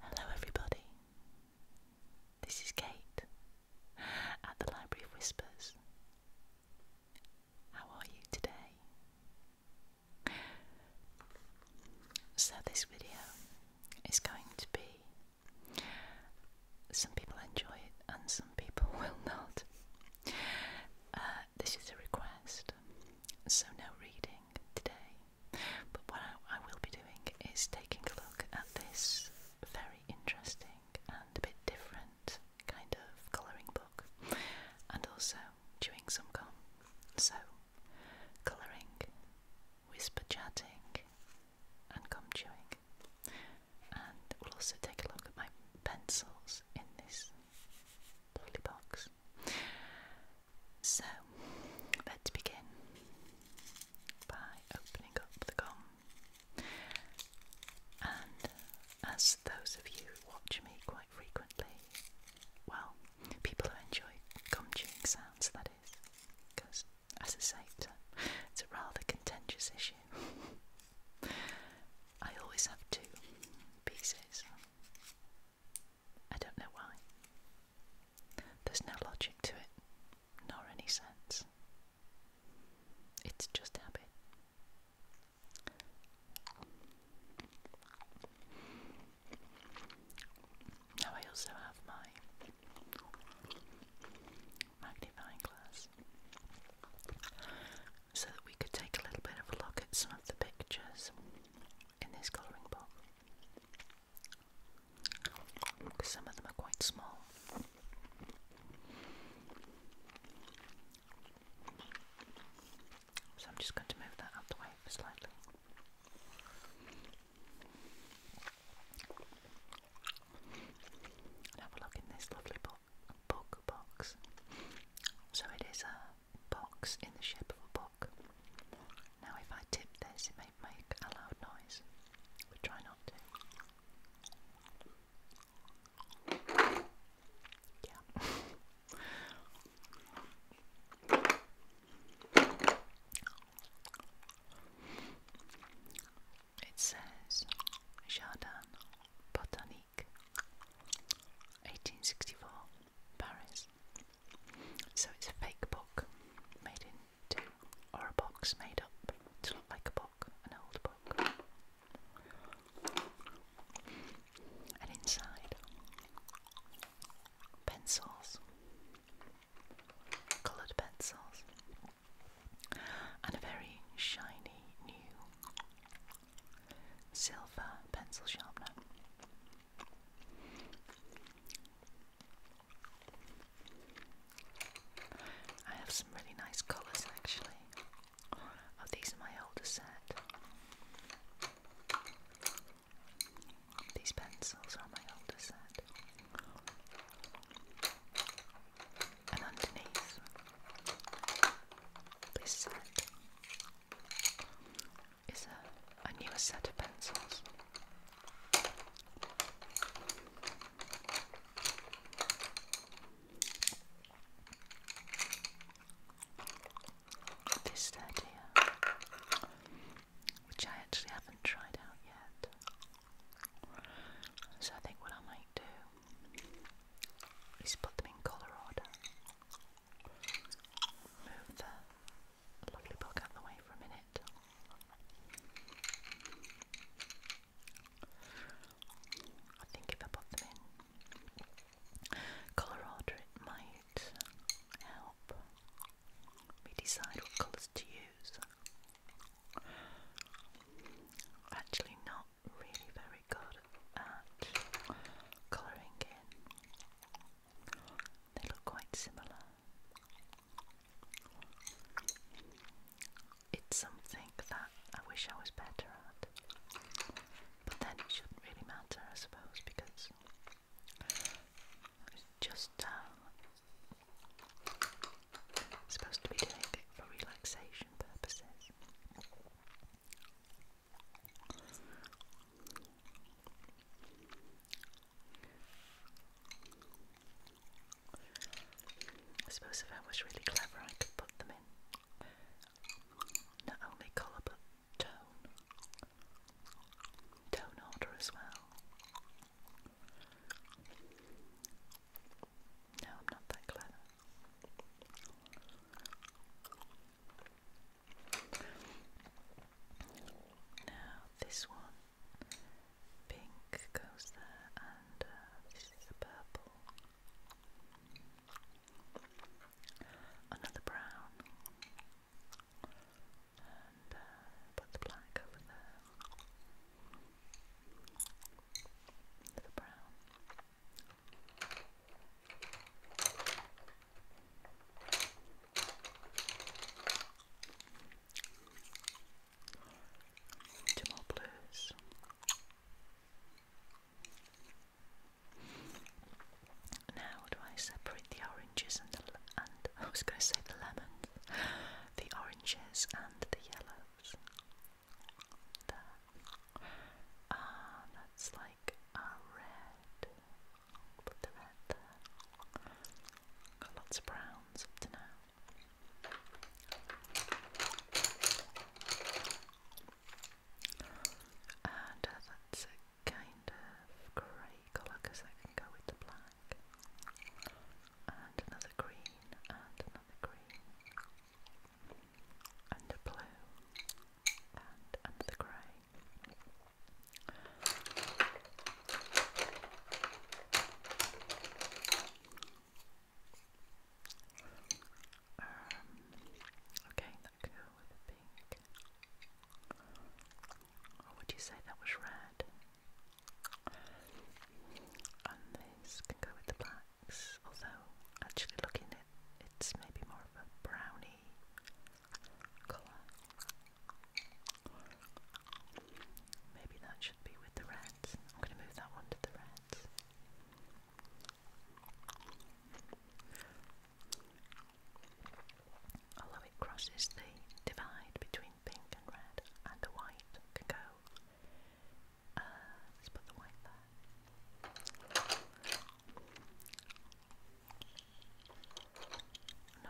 Hello, everybody. This is Kate at the Library of Whispers. How are you today? So, this video is going to be some people enjoy it and some people will not. Uh, this is a request, so no reading today. But what I, will be doing is taking a look at this very interesting and a bit different kind of colouring book and also chewing some gum. So, colouring, whisper chatting, and gum chewing. And we'll also take a look at my pencils in this lovely box. So let's begin by opening up the gum. And as those of you who watch me quite frequently, well, people who enjoy gum chewing sounds, that is, because as I say, it's a rather contentious issue. I always have two pieces I don't know why. There's no logic to it, nor any sense. It's just habit. Now I also have my magnifying glass, so that we could take a little bit of a look at some of the pictures in this colouring book. Because some of them are quite small. So I'm just going to move that out the way slightly. And have a look in this lovely book box. So it is a box in the shape of a book. Now, if I tip this, it may make a loud noise. But try not to. Yeah. it says Jardin Botanique. 1864, Paris. So it's a fake book made into, or a box made up to look like a book, an old book. And inside, pencils, coloured pencils, and a very shiny new silver pencil sharpener. I have some really nice colours actually. Oh, these are my older set. These pencils are my older set. And underneath this set is a, a new set of pencils. This set which I actually haven't tried out yet. So I think what I might do is put them in colour order. Move the lovely book out of the way for a minute. I think if I put them in Colorado, it might help me decide what colours to use. Actually, not really very good at colouring in. They look quite similar. It's something that I wish I was better at. But then it shouldn't really matter, I suppose, because it's just uh, supposed to be doing it for relaxation purposes. I suppose if I was really clever, I could put them in not only colour but tone, tone order as well. No, I'm not that clever. Now this one, pink goes there, and uh, this is purple. Another brown, and uh, put the black over there. Another brown. Two more blues. Now, do I separate the oranges and the and I was going to say the lemons, the oranges and the yellows? Ah, that's like are red. I'll put the red there. Got lots of browns up to now. And uh, that's a kind of grey colour because that can go with the black. And another green, and another green and the blue and the grey. Um, okay, that could with a pink. Or would you say that was red? And this can go with the black although actually looking it, it's maybe more of a brownie colour. Maybe that should be with the reds. I'm going to move that one to the reds. Although it crosses the divide between pink and red, and the white can go. Uh, let's put the white there. An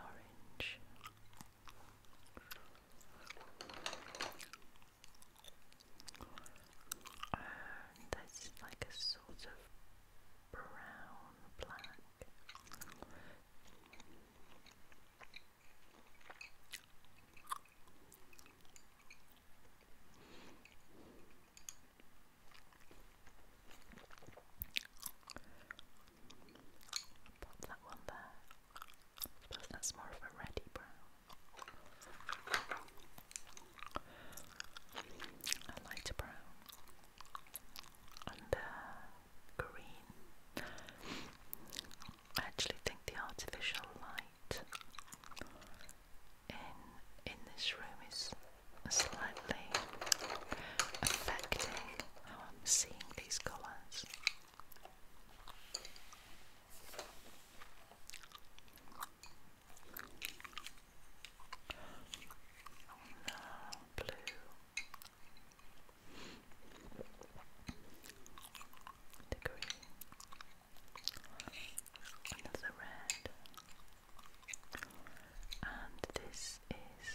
orange. that's like a sort of brown black that one there. that's more of a reddy brown. A lighter brown. And uh, green. I actually think the artificial light in in this room is slightly affecting how I'm seeing these colours. no, blue. The green another red, and this is,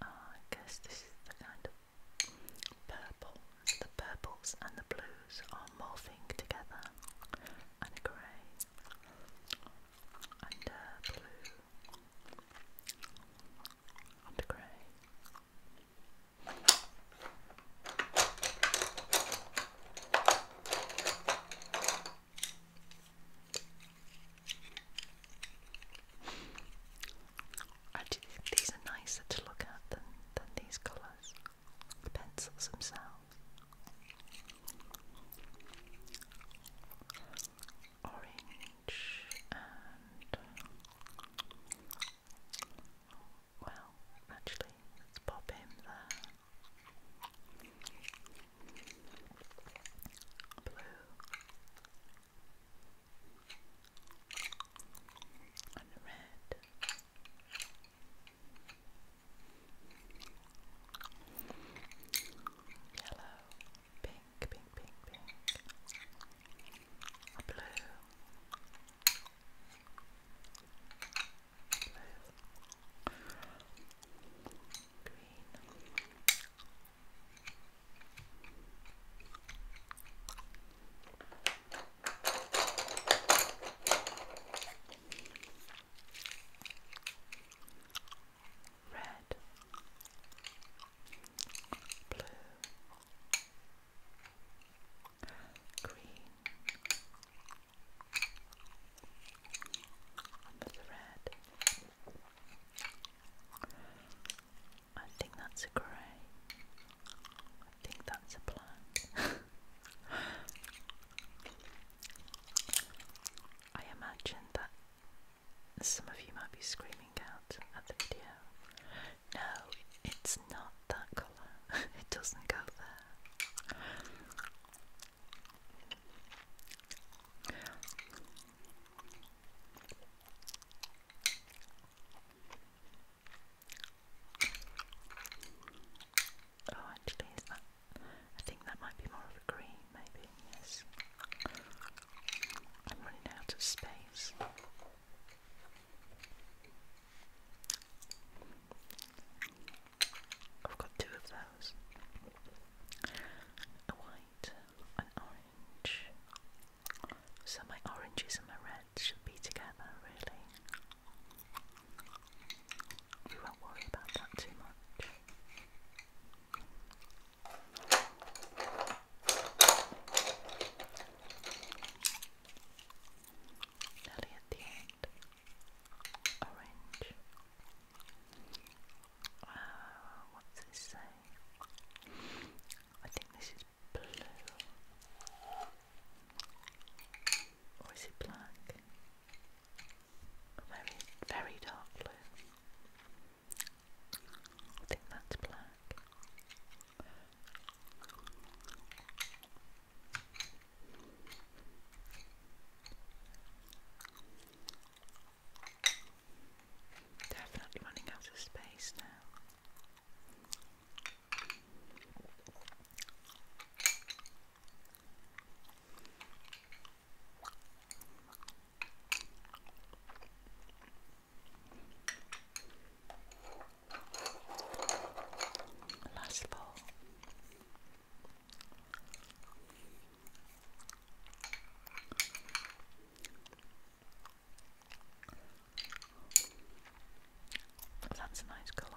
I guess this is the kind of purple, the purples and the blues are morphing together, and grey, and blue, and grey. Actually, these are nicer to look at than, than these colours, the pencils themselves. Orange and. Well, actually, let's pop him there. Blue. And red. Yellow. Pink, pink, pink, pink. Blue blue, green, red, blue, green, of red. I think that's a grey. I think that's a black. I imagine that some of you might be screaming out at the video. No, it's not that colour. it doesn't go there. Oh, actually, is that? I think that might be more of a green, maybe. Yes. I'm running out of space. I've got two of those a white, an orange. So my oranges and my reds should be together, really. We won't worry about that too much nearly at the end. Orange. Uh, what's this say? I think this is blue. Or is it black? Very, very dark blue. I think that's black. Definitely running out of space now. Last ball. That's a nice colour.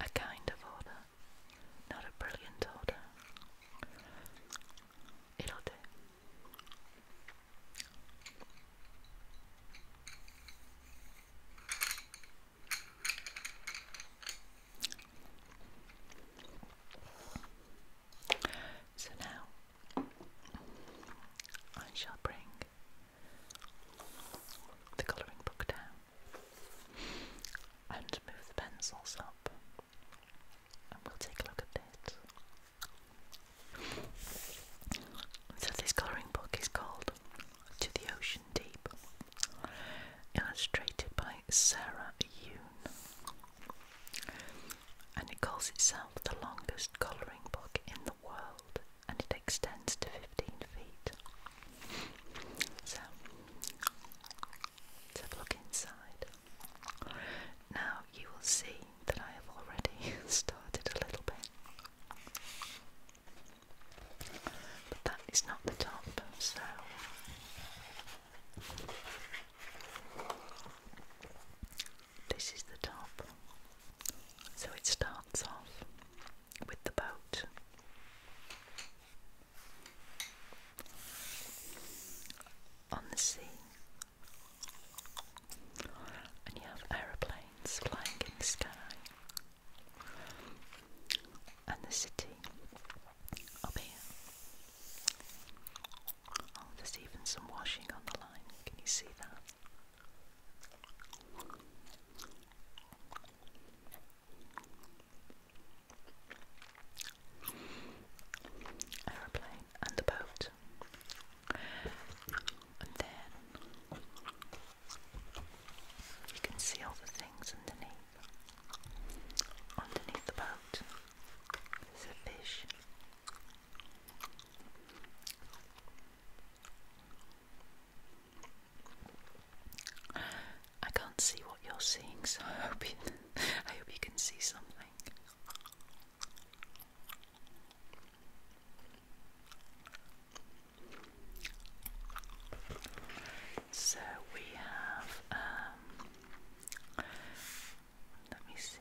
a kind of order, not a brilliant order. It'll do. So now I shall bring the colouring book down and move the pencils up and we'll take a look at it. So this colouring book is called To the Ocean Deep, illustrated by Sarah Yoon. And it calls itself the longest colouring book in the world and it extends to 15 feet. So let's have a look inside. Now you will see that I have already started a little bit, but that is not the top, so. This is the top. So it starts off with the boat. On the sea, and you have aeroplanes flying in the sky, and the city up here. Oh, there's even some washing on the line. Can you see that? aeroplane and the boat. And then you can see all the things underneath. Underneath the boat is a fish. I can't see what you're seeing, so I hope you, can see something. So we have, um, let me see,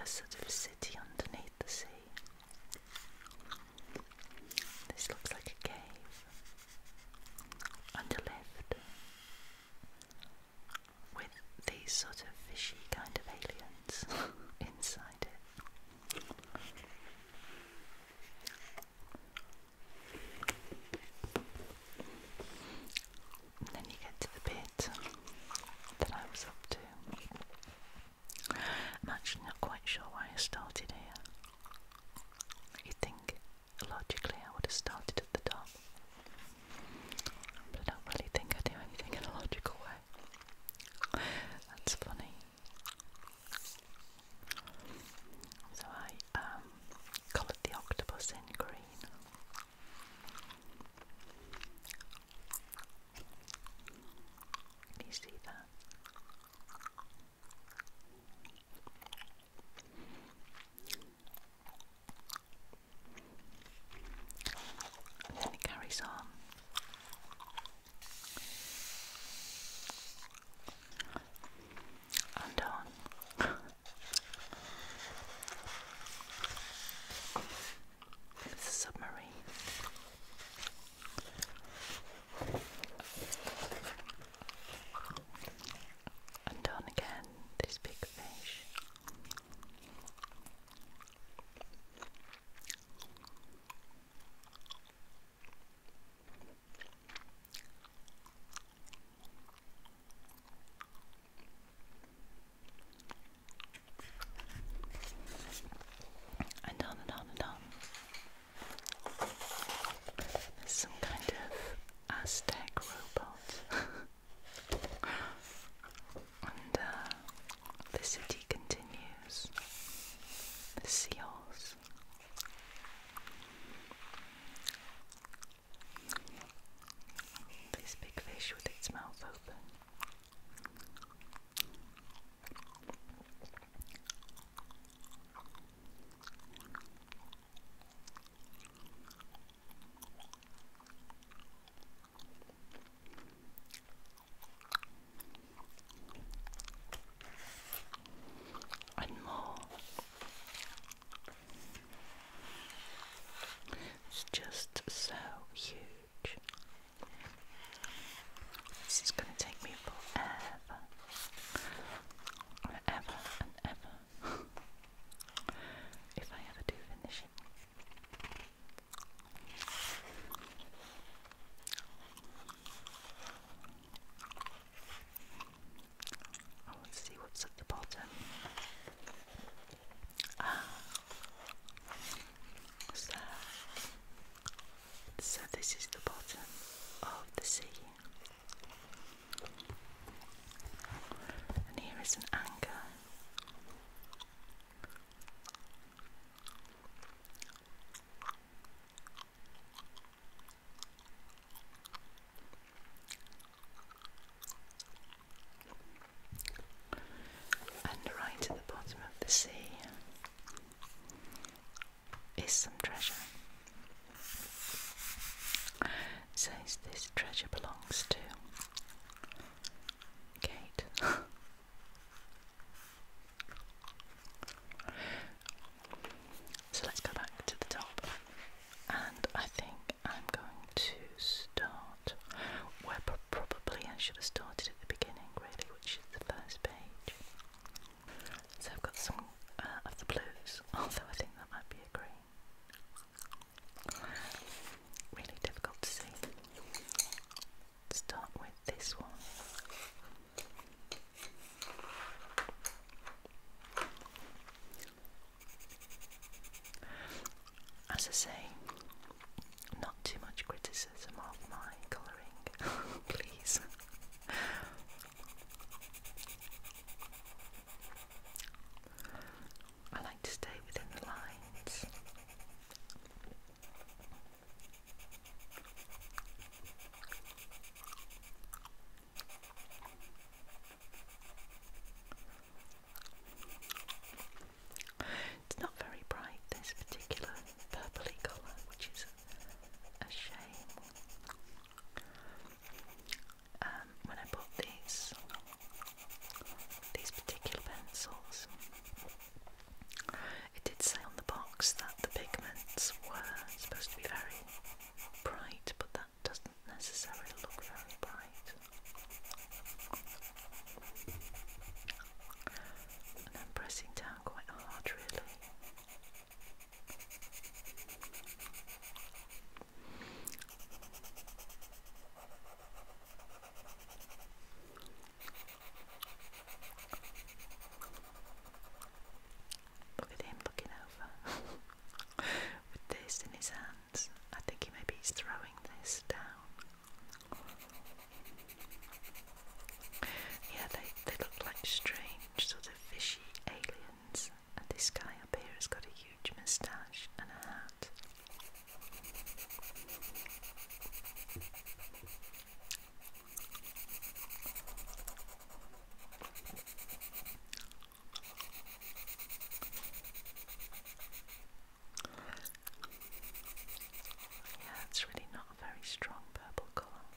a sort of city underneath the sea. This looks like a cave. On with these sort of fishy kind of aliens inside it. then you get to the bit that I was up to. actually not quite sure why I started here you think logically I would have started at the top, but I don't really think I do anything in a logical way. That's funny. So I um, coloured the octopus in green. Can you see that? And then it carries on. And on. it's a submarine. And on again, this big fish. And on and on and on. Some kind of Aztec robot. and uh, the city continues. The seals. This big fish with its mouth open. And more. It's just so huge. This is going to take me forever forever and ever. if I ever do finish it. I want to see what's at the bottom. Ah, so so this is the bottom of the sea. And here is an anchor. And right at the bottom of the sea is some treasure. Says this treasure belongs to Kate. so let's go back to the top, and I think I'm going to start where probably I should have started at the beginning, really, which is the first page. So I've got some uh, of the blues, although I think that might be a green. Really difficult to see. Start with this one. As I say, not too much criticism of my colouring, please. I like to stay within the lines. It's not very bright, this particular purpley colour, which is a shame. Um, when I bought these, these particular pencils, it did say on the box that the pigments were supposed to be very bright, but that doesn't necessarily look very bright. And I'm pressing down quite hard, really. Look at him looking over with this in his hands. I think he maybe he's throwing this down. Yeah, they, they look like strange, sort of fishy aliens. And this guy up here has got a huge moustache and a hat. Yeah, it's really not a very strong purple colour.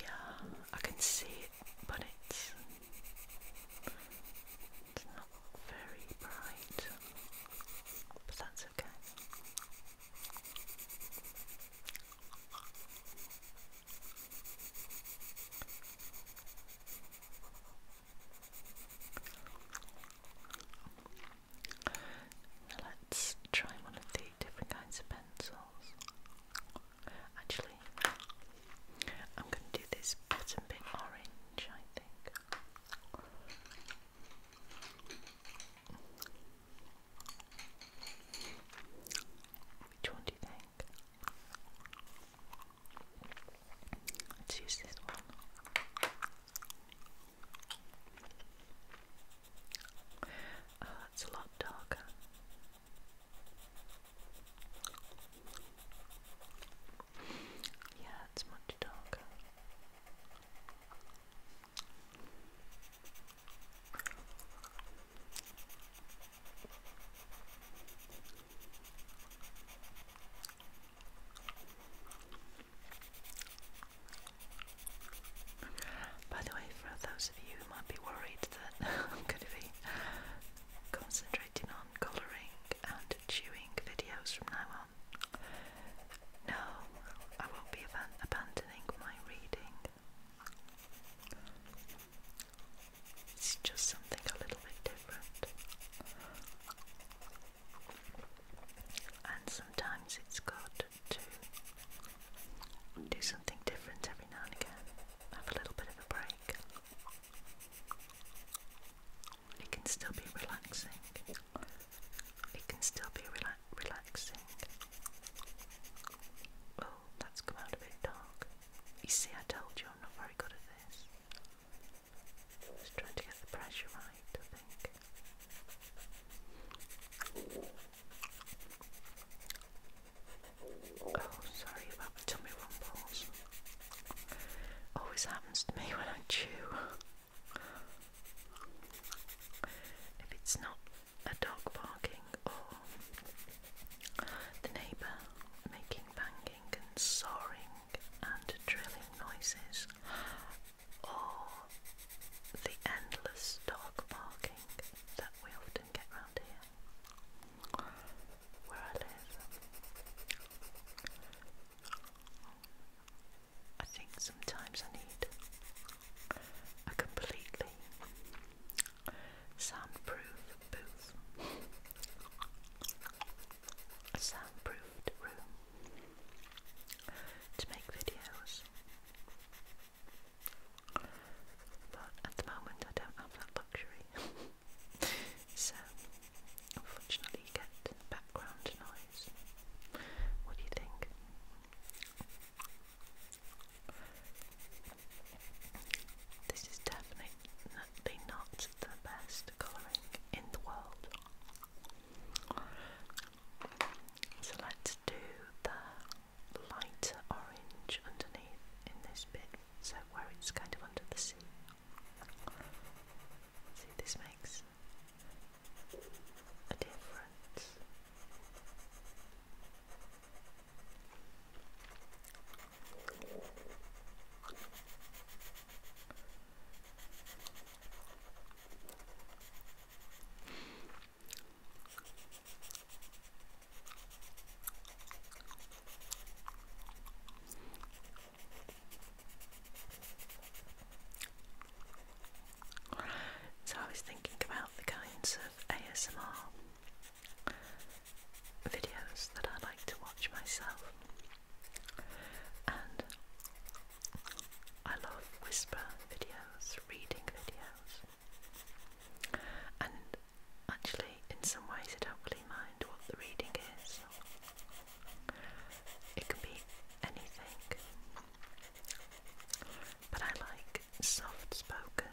Yeah, I can see it, but it's, it's not very bright, but that's okay. let's try one of the different kinds of pencils. Actually, I'm going to do this bottom bit orange. I think. Which one do you think? Let's use this one. Oh, it's a lot darker. Yeah, it's much darker. By the way, for those of you who might be worried that I'm going to be concentrating on colouring and chewing videos from now no, I won't be abandoning my reading. It's just something a little bit different. And sometimes it's good to do something different every now and again. Have a little bit of a break. It can still be relaxing. It can still be rela relaxing. Oh, that's come out a bit dark. You see, I told you I'm not very good at this. Just trying to get the pressure right, I think. Oh, sorry about the tummy rumbles. Always happens to me when I chew. If it's not a dog barking or the neighbour making banging and sawing and drilling noises, or the endless dog barking that we often get round here where I live. I think sometimes I need a completely soundproof booth, soundproofed room to make videos. But at the moment, I don't have that luxury, so unfortunately get background noise. What do you think? This is definitely not the best colouring in the world. So let's do the lighter orange underneath in this bit, so where it's kind of under the sea. See, this may makes a difference. So I was thinking about the kinds of ASMR videos that I like to watch myself, and I love whisper videos, reading videos, and actually, in some ways, I don't really mind what the reading is. It can be anything. But I like soft spoken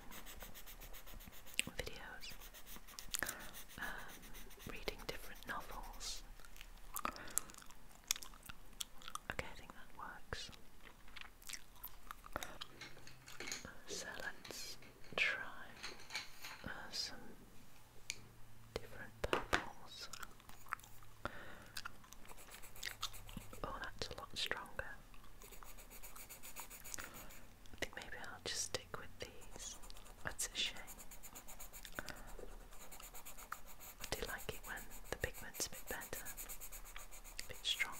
videos, um, reading different novels. Okay, I think that works. So try uh, different purples. Oh, that's a lot stronger. I think maybe I'll just stick with these. That's a shame. I do like it when the pigment's a bit better, a bit stronger.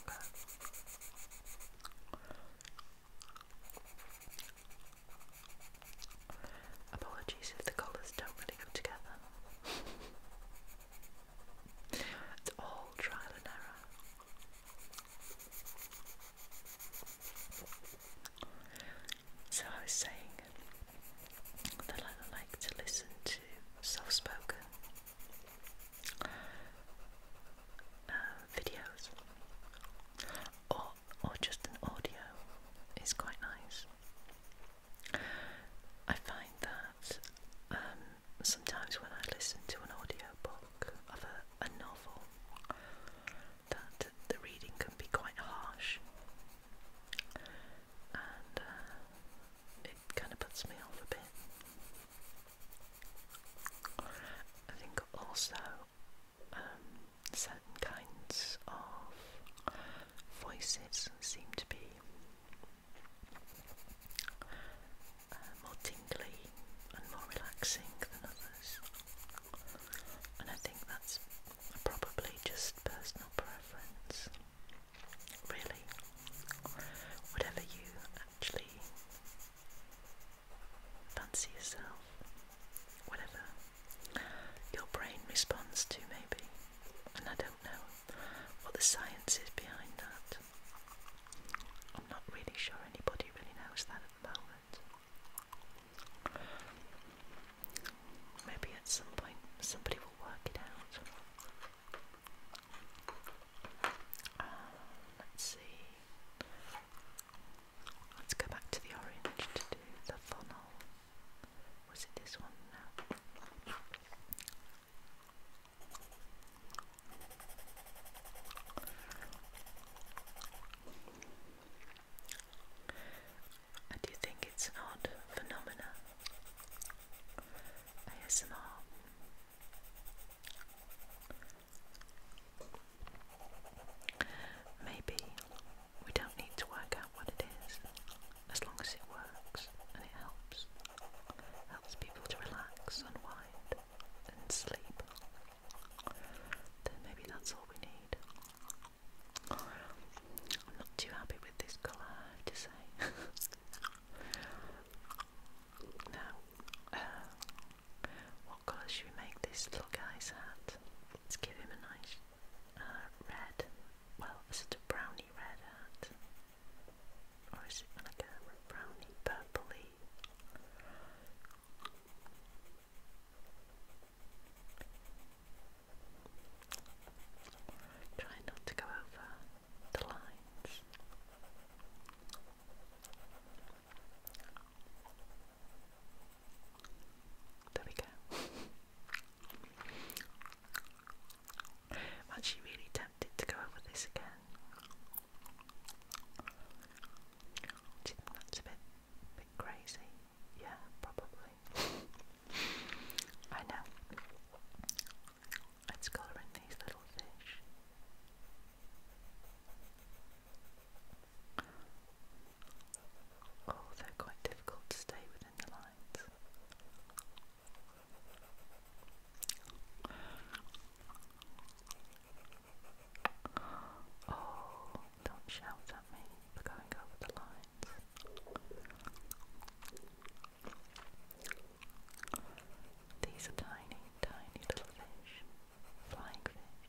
Apologies if the colours don't really go together. it's all trial and error. So I was saying that I like to listen to soft spoken uh, videos or or just an audio is quite nice. I find that um, sometimes when I listen to an audio book of a, novel, that the reading can be quite harsh, and uh, it kind of puts me off a bit. I think also. Um, certain kinds of voices seem to be uh, more tingly and more relaxing than others, and I think that's probably just personal preference. Really, whatever you actually fancy yourself whatever your brain responds to, maybe. And I don't know what the science is behind that. I'm not really sure anybody really knows that at the moment. Maybe at some point somebody will work it out. Uh, let's see. Let's go back to the orange to do the funnel. Was it this one? No. I think it's an odd phenomena. ASMR. Maybe we don't need to work out what it is, as long as it works and it helps. Helps people to relax, unwind, and sleep. Then maybe that's all we need. I'm not too happy with this colour, to say. now, uh, what colour should we make this little guy's hat? Let's give him a nice uh, red, well, is it a brownie red Or is it like a brownie purpley? Try not to go over the lines. There we go. I'm actually really tempted to go over this again. Do you think that's a bit, bit crazy? Yeah, probably. I know. Let's colour in these little fish although quite difficult to stay within the lines. Oh, don't shout at me for going over the lines. These are tiny, tiny little fish, flying fish.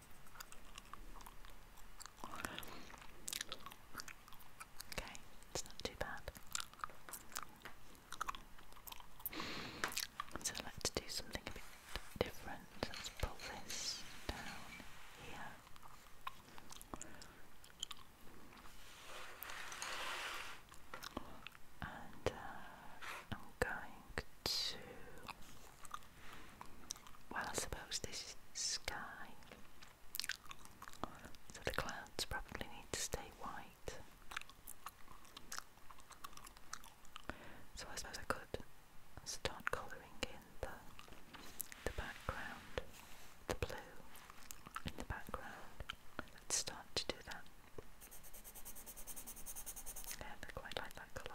Okay, it's not too bad. So let's do something a bit different. Let's pull this down here. And uh, I'm going to well, I suppose this sky. So the clouds probably need to stay white. So I suppose I could start colouring in the the background, the blue in the background. Let's start to do that. Yeah, I quite like that colour.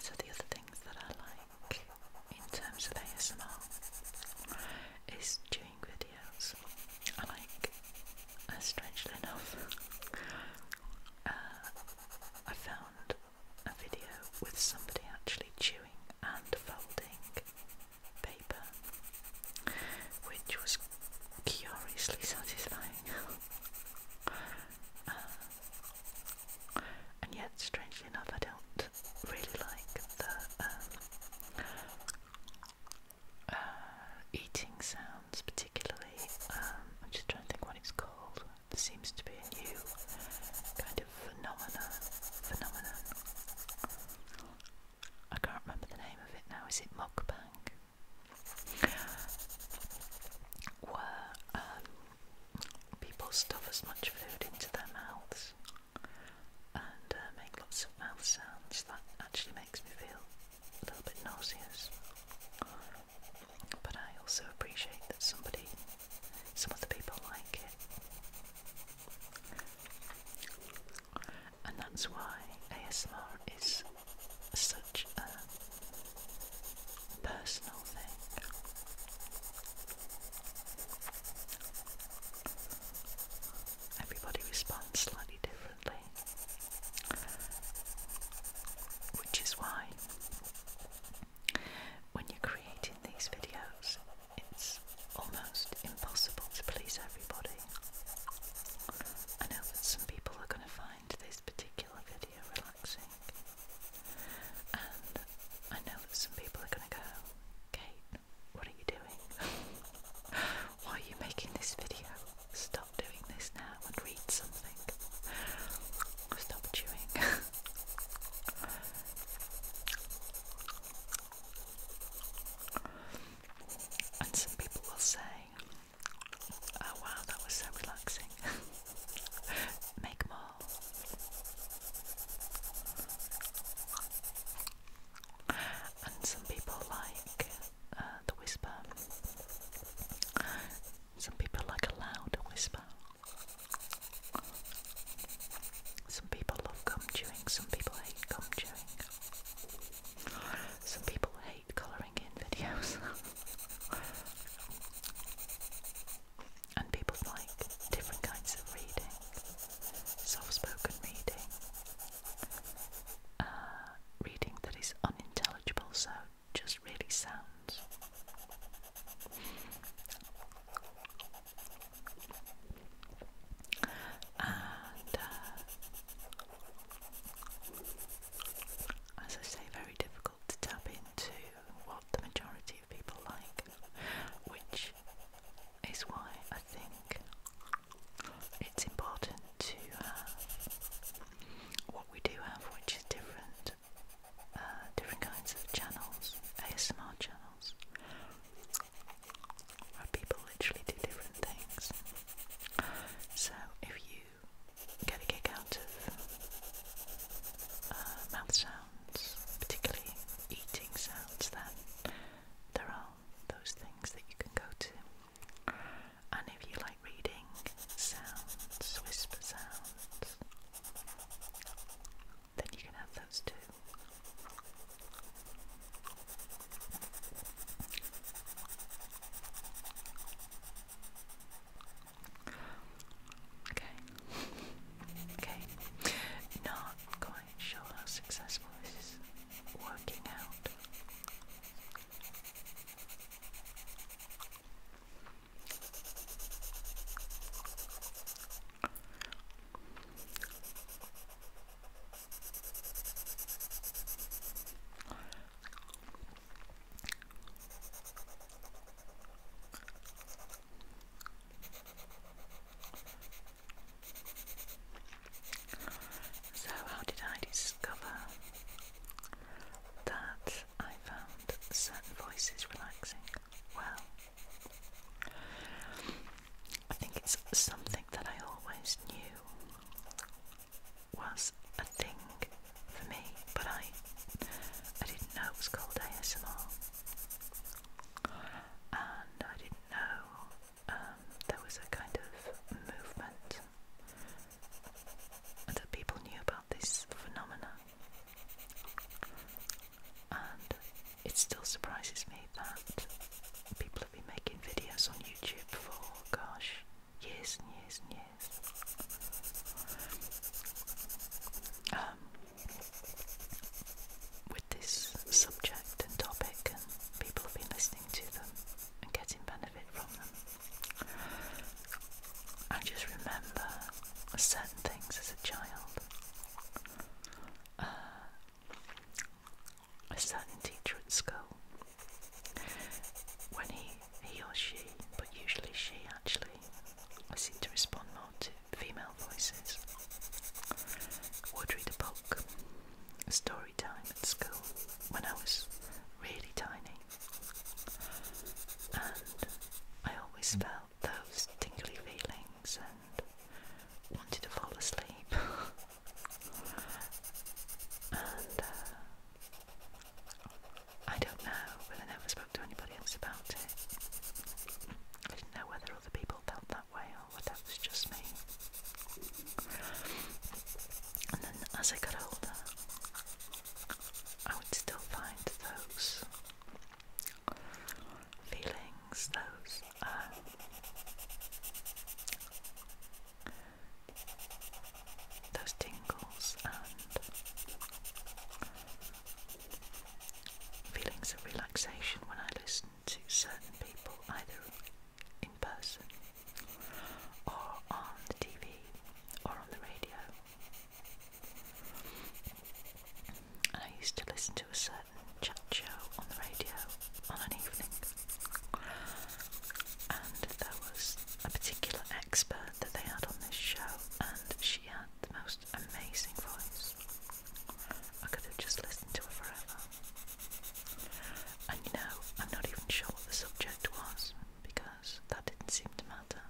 So, the other things that I like in terms of ASMR is doing videos. I like, strangely enough, uh, I found a video with somebody actually chewing and folding paper, which was curiously satisfying. Uh, and yet, strangely enough, I don't really like the um, uh, eating sounds particularly. Um, I'm just trying to think what it's called. seems to be a new kind of phenomena. Phenomenon. I can't remember the name of it now. Is it mukbang? Where um, people stuff as much food into their mouths and uh, make lots of mouth sounds that actually makes me feel a little bit nauseous. But I also appreciate that somebody, some of the people like it. And that's why ASMR is such a personal thing. Everybody responds slightly differently, which is why when you're creating these videos, it's almost impossible to please everybody. I know that some people are going to find this particular video relaxing, and I know that some people are going to go, Kate, what are you doing? Why are you making this video? Stop doing this now and read something. Stop chewing. and some people will say, oh, wow, that was so relaxing. Make more. And some people like uh, the whisper. Some people like a loud whisper. Some people love gum chewing, some people hate gum chewing. Some people hate colouring in videos. and people like different kinds of reading, soft-spoken reading, uh, reading that is unintelligible, so just really sounds. And uh, as I say, very difficult to tap into what the majority of people like, which is why I think it's important to have what we do have, which is different, uh, different kinds of channels, ASMR channels, where people literally do different things. So if you get a kick out of uh, mouth sounds sounds, particularly eating sounds, then there are those things that you can go to. And if you like reading sounds, whisper sounds, then you can have those too. Okay. Okay. Not quite sure how successful this is working out. So, how did I discover that I found certain voices relaxing? Well, I think it's something that I always knew was a thing for me, but I I didn't know it was called ASMR and I didn't know um, there was a kind of movement that people knew about this phenomena, and it still surprises me that people have been making videos on YouTube for gosh years and years and years. Um, with this subject and topic, and people have been listening to them and getting benefit from them. I just remember certain things as a child. Uh, a certain teacher at school, when he, he or she, but usually she actually, seemed to respond more to female voices. Audrey read a book, at school when I was really tiny, and I always mm. felt those tingly feelings and wanted to fall asleep. and uh, I don't know, but I never spoke to anybody else about it. I didn't know whether other people felt that way or whether that was just me. And then as I got older, I would still find those feelings, those um, those tingles and Feelings of relaxation when I listen to certain people, either in person or on the TV or on the radio. I used to listen to a certain chat show on the radio on an evening, and there was a particular expert that they had on this show, and she had the most amazing voice. I could have just listened to it forever. And you know, I'm not even sure what the subject was because that didn't seem to matter.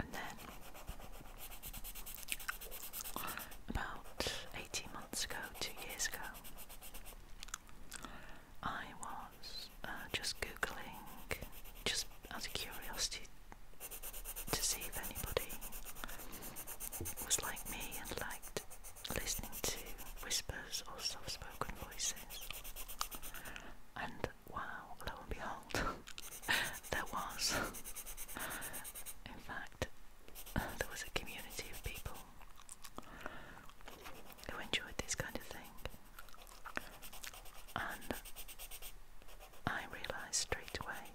And then, about 18 months ago, two years ago, I was uh, just googling, just as a curiosity, to see if anybody was like me and liked listening to whispers or soft spoken voices. And wow, lo and behold, there was. In fact, there was a community of people who enjoyed this kind of thing. And I realised straight away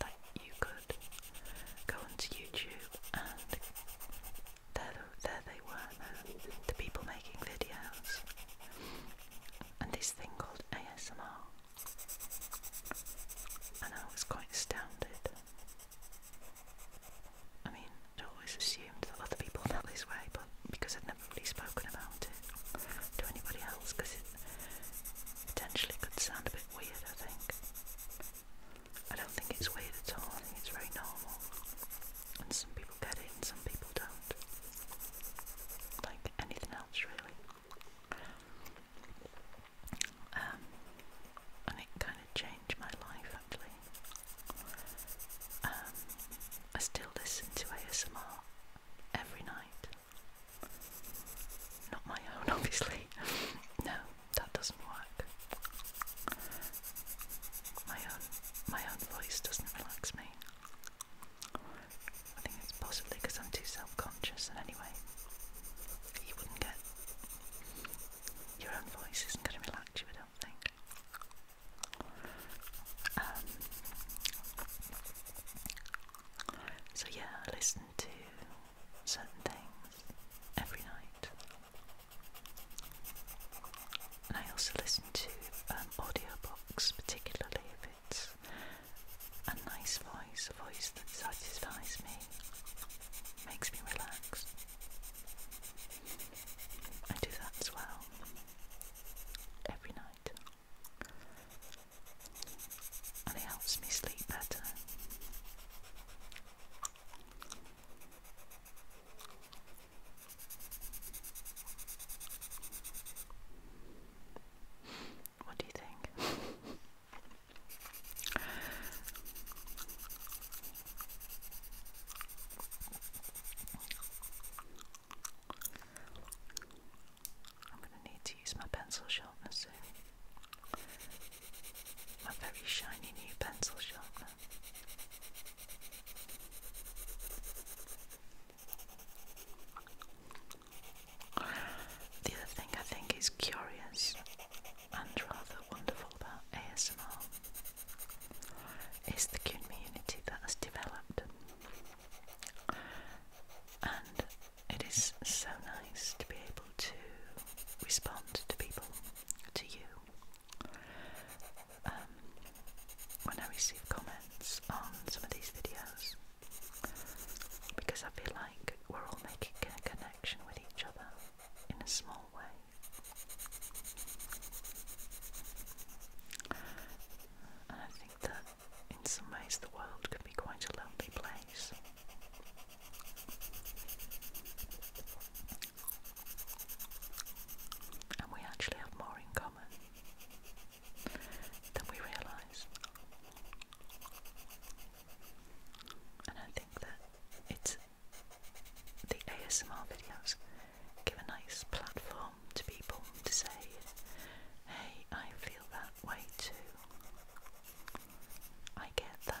that you could go onto YouTube and there, there they were, the, people making videos, and this thing called ASMR. And I was quite astounded. I mean, I'd always assumed that other people felt this way, but because I'd never really spoken about it to anybody else, because it potentially could sound a bit weird, I think. I don't think it's weird at all, I think it's very normal. And some people get it and some people don't. Like anything else, really. Um, and it kind of changed my life actually. Um, I still listen to ASMR every night. Not my own, obviously. no, that doesn't work. My own, my own voice doesn't relax me. I think it's possibly because I'm too self-conscious, and anyway, you wouldn't get your own voice isn't going to relax you, I don't think. Um, so, yeah, I listen to certain things every night. And I also listen to um, audiobooks, particularly if it's a nice voice, a voice that satisfies me makes me relax. I do that as well every night, and it helps me sleep better. What do you think? I'm going to need to use my pencil sharpener soon. My very shiny new pencil sharpener. The other thing I think is curious and rather wonderful about ASMR is the community that has developed. And it is so nice to be able to respond to people, to you. Um, when I receive comments on some of these videos, because I feel like we're all making a connection with each other in a small way. And I think that in some ways the world can be quite a lonely place. And we actually have more in common than we realise. And I think that it's the ASMR videos give a nice platform to people to say, hey, I feel that way too. I get that.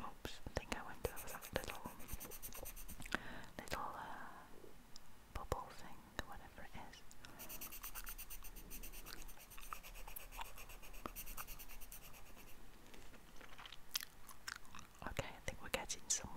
Oops, I think I went over that little, little uh, bubble thing, whatever it is. Okay, I think we're getting somewhere.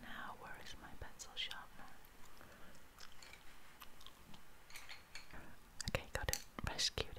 Now, where is my pencil sharpener? Okay, got it. Rescued it.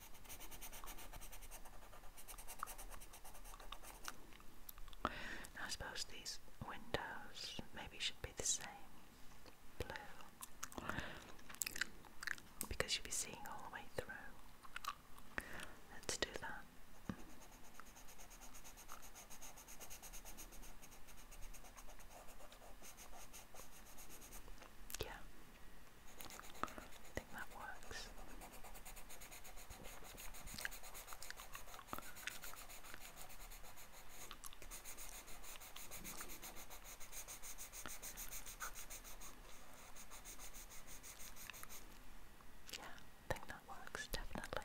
Now I suppose these windows maybe should be the same blue because you'll be seeing all the way through. Let's do that. Yeah, I think that works. Yeah, I think that works definitely.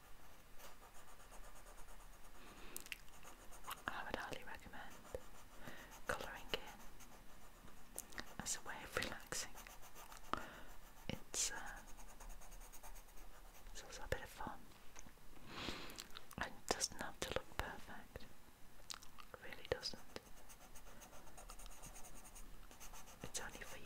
I would highly recommend colouring in as a way of relaxing. It's, uh, it's also a bit of fun and it doesn't have to look perfect, really doesn't. It's only for you.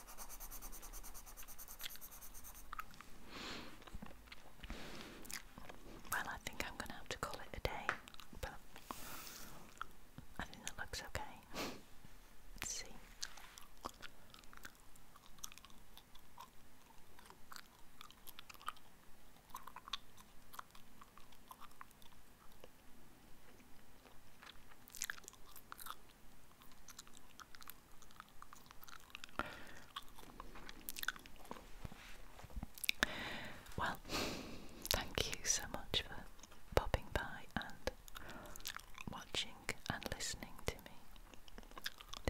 Well, I think I'm going to have to call it a day, but I think that looks okay. Let's see. Well, thank you so much for popping by and watching and listening to me.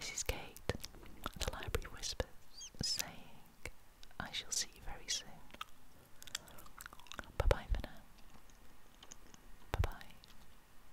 This is Kate, the Library Whispers, saying I shall see you very soon. Bye bye for Bye bye.